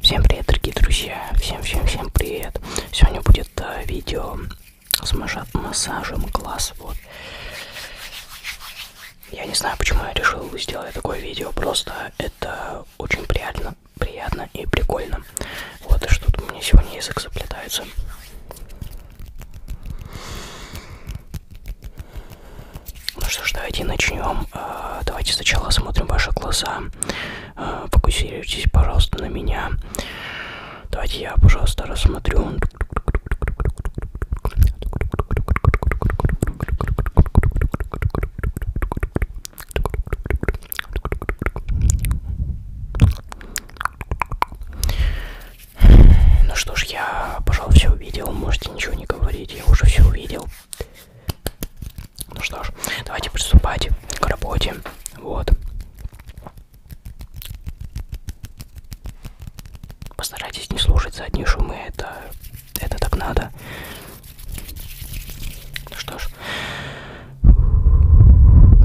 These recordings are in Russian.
Всем привет, дорогие друзья! Всем-всем-всем привет! Сегодня будет э, видео с массажем глаз. Вот. Я не знаю, почему я решил сделать такое видео, просто это очень приятно, приятно и прикольно. Вот и что-то у меня сегодня язык заплетается. Ну что ж, давайте начнем. А, давайте сначала осмотрим ваши глаза. А, фокусируйтесь, пожалуйста, на меня. Давайте я, пожалуйста, рассмотрю. Ну что ж, я, пожалуй, все увидел. Можете ничего не говорить, я уже все увидел. Ну что ж, давайте приступать к работе. Вот. Постарайтесь не слушать задние шумы, это, это так надо. Ну что ж,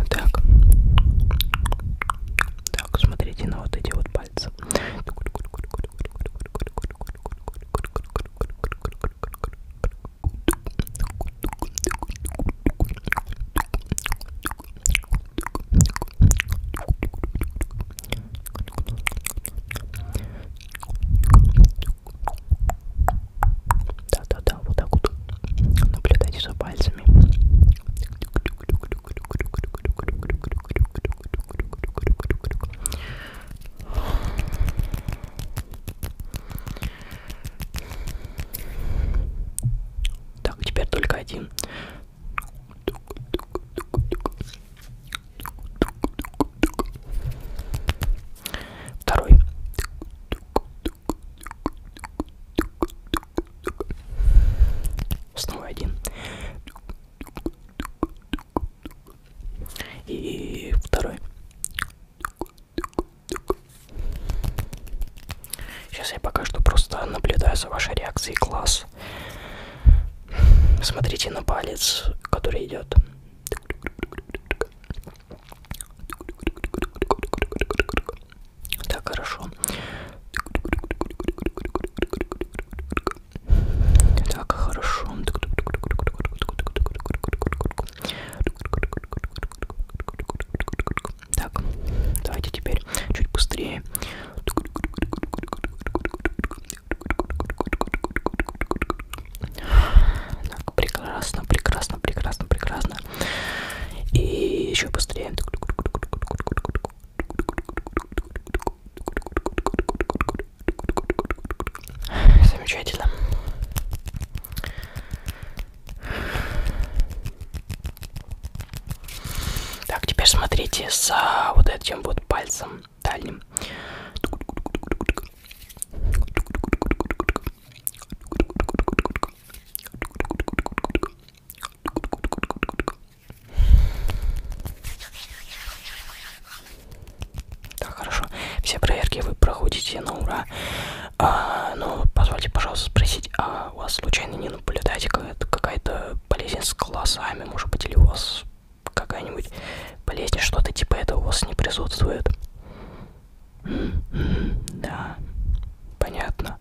так. Так, смотрите на вот эти вот пальцы. Так, да-да-да, вот так вот наблюдайте за пальцами. Так, теперь только один. Второй. Снова один. И второй. Сейчас я пока что просто наблюдаю за вашей реакцией класс. Смотрите на палец, который идет. Так, хорошо. Так, хорошо. Так, давайте теперь чуть быстрее. Так, прекрасно, прекрасно, прекрасно, прекрасно. И еще быстрее. Замечательно. Так, теперь смотрите за вот этим вот пальцем дальним. Так, хорошо. Все проверки вы проходите на ура. А, но ну, позвольте, пожалуйста, спросить, а у вас случайно не наблюдаете какая-то болезнь с глазами, может быть, или у вас какая-нибудь болезнь, что-то типа этого у вас не присутствует. Да, понятно.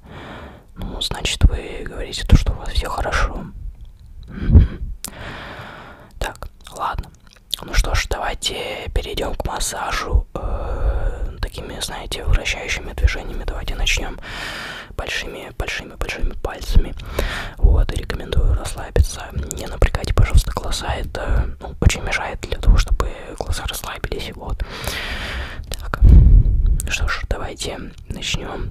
Ну, значит, вы говорите то, что у вас все хорошо. Так, ладно. Ну что ж, давайте перейдем к массажу. Э, такими, знаете, вращающими движениями. Давайте начнем большими, большими самыми большими пальцами. Вот, и рекомендую расслабиться. Не напрягайте, пожалуйста, глаза. Это ну, очень мешает для того, чтобы глаза расслабились. Вот. Так. Что ж, давайте начнем.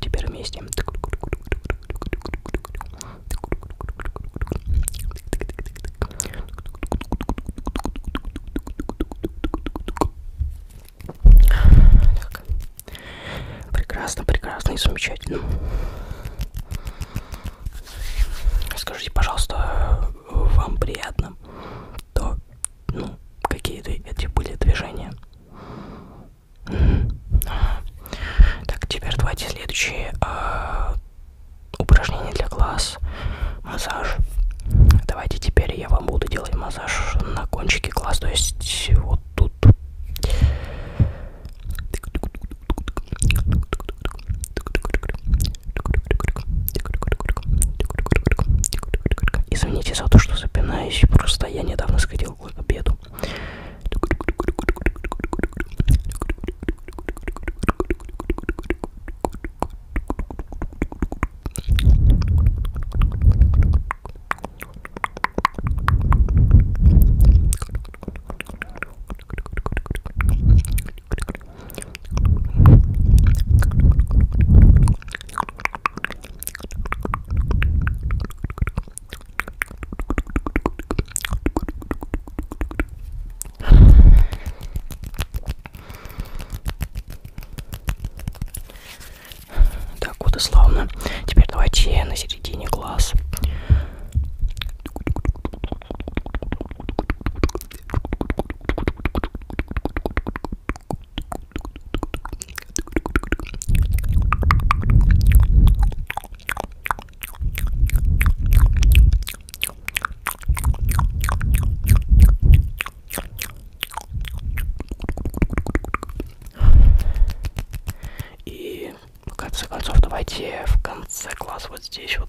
Теперь вместе. Так. Прекрасно, прекрасно и замечательно. Скажите, пожалуйста, вам приятно? то, ну, какие-то эти были движения. Так, теперь давайте следующее э, упражнение для глаз. Массаж. Давайте теперь я вам буду делать массаж на кончике глаз, то есть вот тут. Извините за то, что запинаюсь, просто я недавно сходил к обеду. Так, вот и славно. Теперь давайте на середине глаз. И в конце концов давайте в конце класса вот здесь вот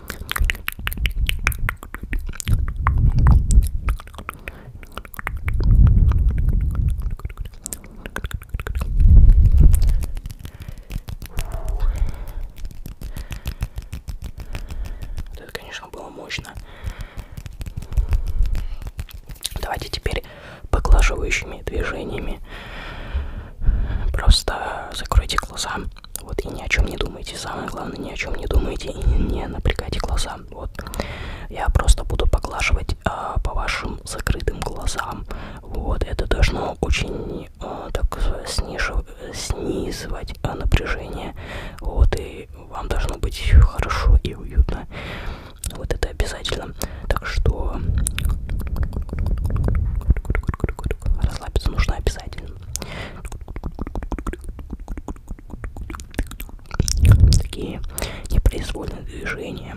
Вот это, конечно, было мощно. Давайте теперь поглаживающими движениями Просто закройте глаза, вот, и ни о чем не думайте. Самое главное, ни о чем не думайте и не напрягайте глаза, вот. Я просто буду поглаживать а, по вашим закрытым глазам, вот. Это должно очень, а, так снижив... снизывать а, напряжение, вот, и вам должно быть хорошо и уютно. Вот это обязательно. Так что расслабиться нужно обязательно. Такие непроизвольные движения.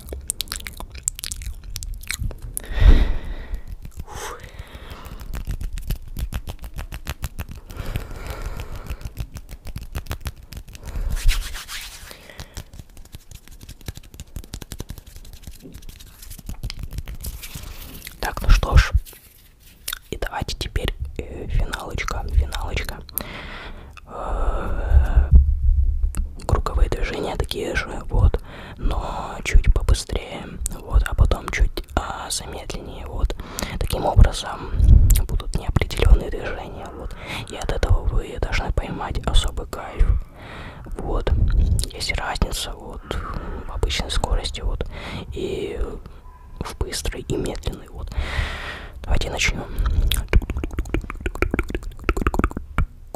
Уф. Так, ну что ж, и давайте теперь э, финалочка, финалочка. Э -э, круговые движения такие же, вот но чуть побыстрее, вот, а потом чуть а, замедленнее, вот. Таким образом будут неопределенные движения, вот. И от этого вы должны поймать особый кайф. Вот, есть разница, вот, в обычной скорости, вот, и в быстрый и медленный, вот. Давайте начнем.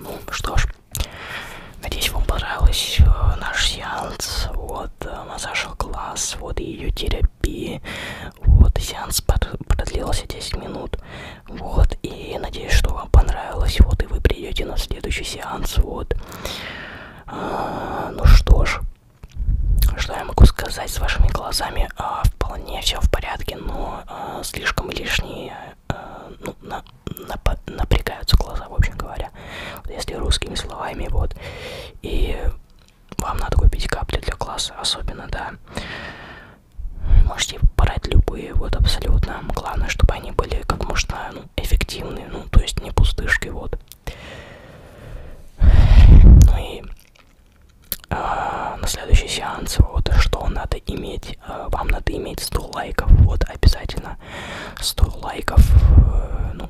Ну что ж, надеюсь, вам понравилось э, наш сеанс. Вот э, массаж класс, вот ее терапия. Вот, сеанс продлился 10 минут. Вот, и надеюсь, что вам понравилось. Вот, и вы придете на следующий сеанс. Вот. А, ну что ж, что я могу сказать с вашими глазами? А, вполне все в порядке, но а, слишком лишние а, ну, на, нап напрягаются глаза, в общем говоря. Вот, если русскими словами, вот. И вам надо купить капли для класса, особенно, да. Можете брать любые, вот абсолютно. Главное, чтобы они были как можно ну, эффективны, ну, то есть не пустышки, вот. Ну и а, на следующий сеанс, вот, что надо иметь, а, вам надо иметь 100 лайков, вот, обязательно 100 лайков, э, ну,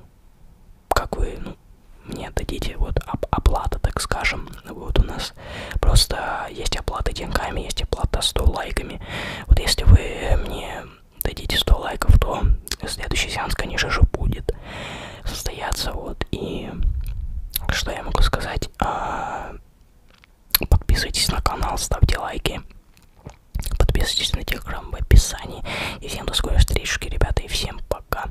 как вы, ну, мне дадите вот оп оплата, так скажем. Вот у нас просто есть оплата деньгами, есть оплата 100 лайками. Вот если вы мне дадите 100 лайков, то следующий сеанс, конечно же, будет состояться. Вот и что я могу сказать? А, подписывайтесь на канал, ставьте лайки. Подписывайтесь на телеграм в описании. И всем до скорой встречи, ребята, и всем пока.